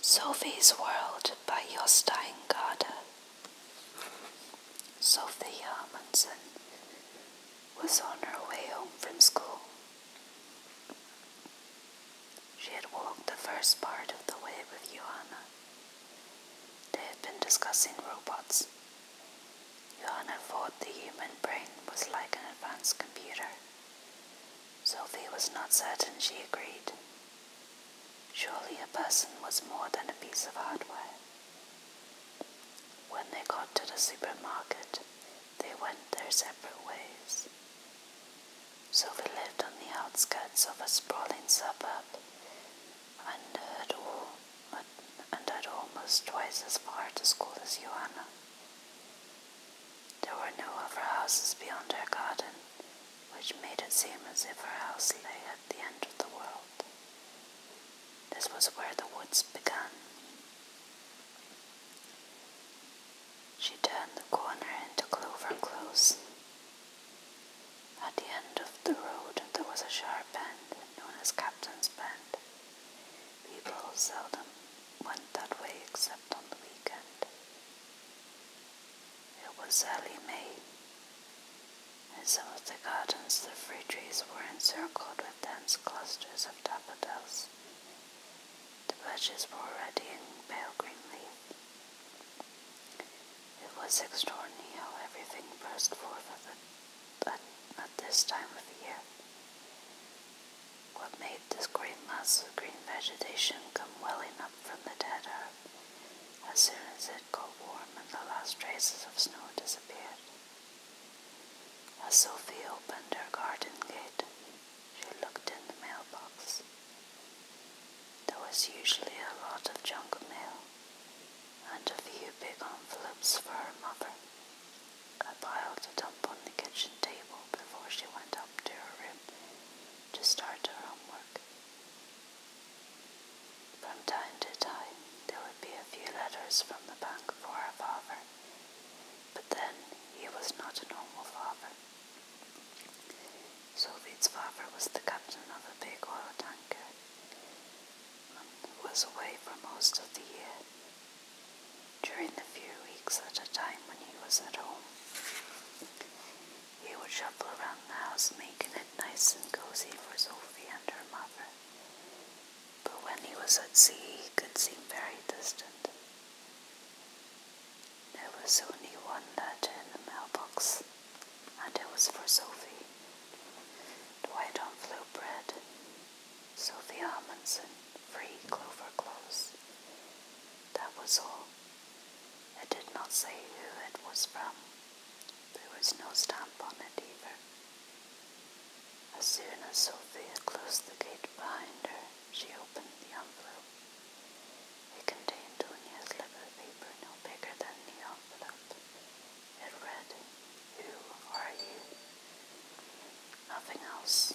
Sophie's World by Jostein Gaarde. Sophie Hermansen was on her way home from school. She had walked the first part of the way with Johanna. They had been discussing robots. Johanna thought the human brain was like an advanced computer, Sophie was not certain she agreed. Surely a person was more than a piece of hardware. When they got to the supermarket, they went their separate ways. Sylvie lived on the outskirts of a sprawling suburb and had, all, and had almost twice as far to school as Joanna. There were no other houses beyond her garden, which made it seem as if her house lay at the end of the world. This was where the woods began. She turned the corner into Clover Close. At the end of the road there was a sharp bend known as Captain's Bend. People seldom went that way except on the weekend. It was early May. In some of the gardens, the fruit trees were encircled with dense clusters of daffodils. The bushes were already in pale green leaves. It was extraordinary how everything burst forth at this time of the year. What made this great mass of green vegetation come welling up from the dead earth as soon as it got warm and the last traces of snow disappeared? As Sophie opened her garden gate, she looked in the mailbox. There was usually a lot of junk mail and a few big envelopes for her mother. A pile it up on the kitchen table before she went up to her room to start her homework. From time to time, there would be a few letters from the bank for her father, but then he was not a normal father. Sophie's father was the captain of a big oil tanker and was away for most of the year during the few weeks at a time when he was at home, he would shuffle around the house, making it nice and cozy for Sophie and her mother. But when he was at sea, he could seem very distant. There was only one letter in the mailbox, and it was for Sophie. Dwight on flew bread. Sophia Amundsen, Free Clover Close. That was all. It did not say who it was from. There was no stamp on it either. As soon as Sophia closed the gate behind her, she opened the envelope. It contained only a slip of paper no bigger than the envelope. It read, Who are you? nothing else.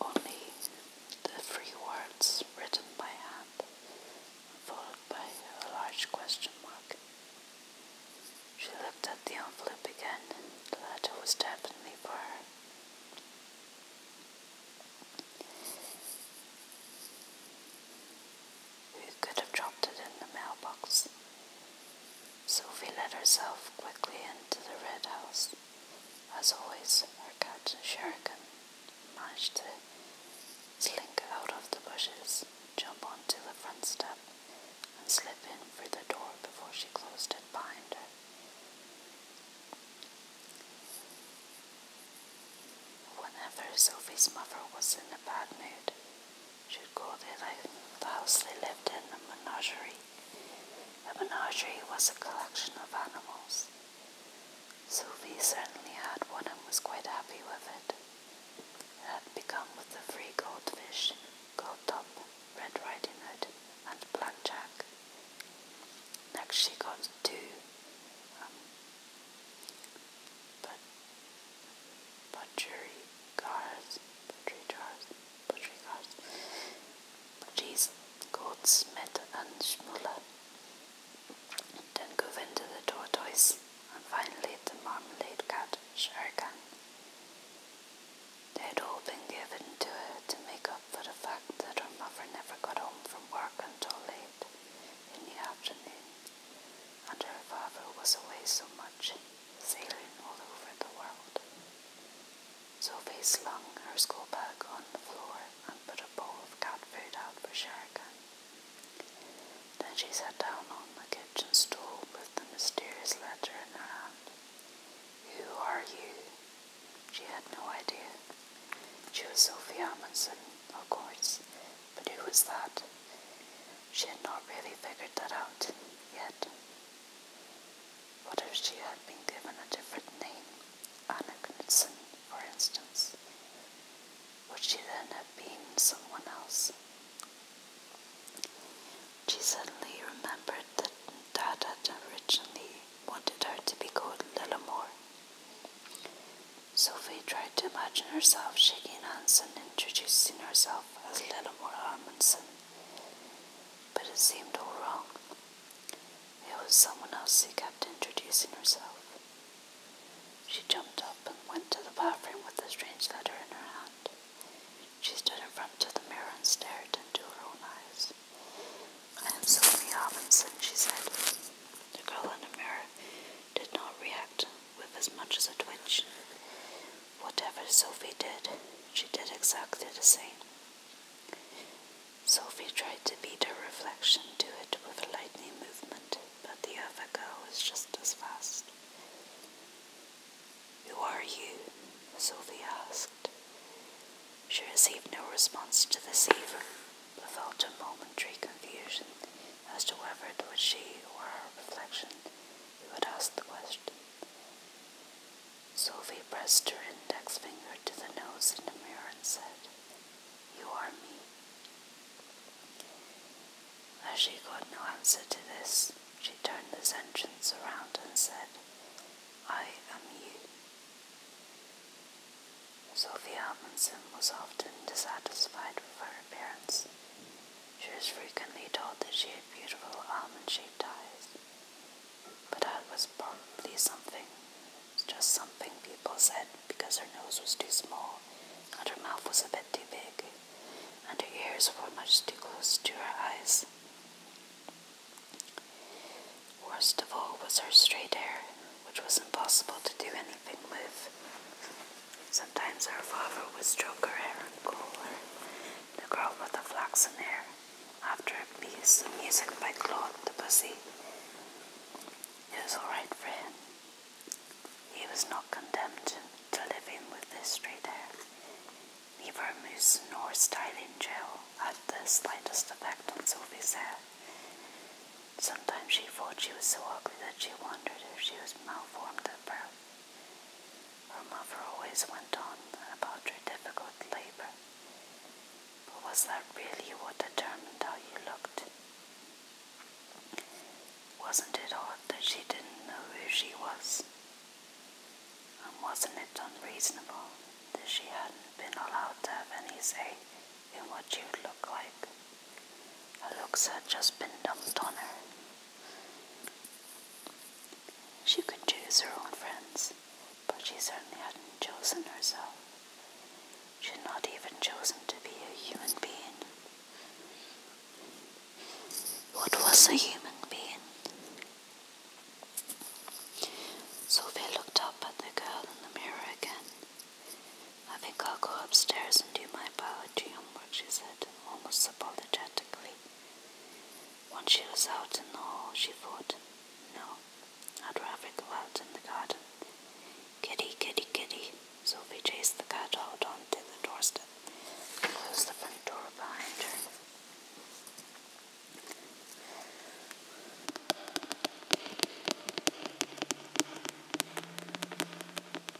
Only the three words written by hand, followed by a large question mark. She looked at the envelope again. The letter was definitely for her. Who could have dropped it in the mailbox? Sophie let herself quickly into the red house. As always, her cat Sheridan managed to slink out of the bushes, jump onto the front step, and slip in through the door before she closed it behind her. Whenever Sophie's mother was in a bad mood, should call their the house they lived in a menagerie. A menagerie was a collection of animals. Sylvie certainly had one and was quite happy with it. It had begun with three goldfish, Goldtop, Red Riding Hood, and Blackjack. Next she got two, um, butchery cars, butchery jars, butchery cars, butchies, goldsmith and schmuller. Then go into the tortoise and finally the marmalade cat, Sharkan. They had all been given to her to make up for the fact that her mother never got home from work until late in the afternoon, and her father was away so much sailing all over the world. Sophie slung her school bag on the floor and put a bowl of cat food out for Sherigan. Then she sat down on the kitchen stool with the mysterious letter in her hand. Who are you? She had no idea. She was Sophie Amundsen, of course, but who was that? She had not really figured that out yet. What if she had been given a different name, Anna Knudsen, for instance? Would she then have been someone else? She suddenly remembered that Dad had originally wanted her to be called Lillimore. Sophie tried to imagine herself shaking hands and introducing herself as Lenore Armandson, but it seemed all wrong. It was someone else who kept introducing herself. She jumped up and went to the bathroom with the strange letter in her hand. She stood in front of the mirror and stared into her own eyes. I am Sylvia Robinson, she said. The girl in the mirror did not react with as much as a twitch. Whatever Sophie did, she did exactly the same. Sophie tried to beat her reflection to it with a lightning movement, but the other girl was just as fast. Who are you? Sophie asked. She received no response to this either, but felt a momentary confusion as to whether it was she or her reflection who had asked the question. Sophie pressed her index finger to the nose in the mirror and said, You are me. As she got no answer to this, she turned the sentence around and said, I am you. Sophie Amundsen was often dissatisfied with her appearance. She was frequently told that she had beautiful almond-shaped eyes. But that was probably something, just something people said because her nose was too small and her mouth was a bit too big and her ears were much too close to her eyes. Worst of all was her straight hair, which was impossible to do anything with. Sometimes her father would stroke her hair and call her the girl with the flaxen hair after a piece of music by Claude Debussy. It was alright for him. He was not condemned to living with this straight hair. Neither mousse nor styling gel had the slightest effect on Sylvie's hair. Sometimes she thought she was so ugly that she wondered if she was malformed at birth. Her mother always went on about her difficult labor, but was that really what determined how you looked? Wasn't it odd that she didn't know who she was? And wasn't it unreasonable that she hadn't been allowed to have any say in what you would look like? Her looks had just been dumped on her. She could choose her own friends, but she certainly hadn't chosen herself. She had not even chosen to be a human being. What was a human being? Sylvia looked up at the girl in the mirror again I think I'll go upstairs and do my biology homework, she said, almost apologetically. Once she was out in the hall, she thought, No, I'd rather go out in the garden. Kitty, kitty, kitty. Sylvie chased the cat out onto the doorstep and closed the front door behind her.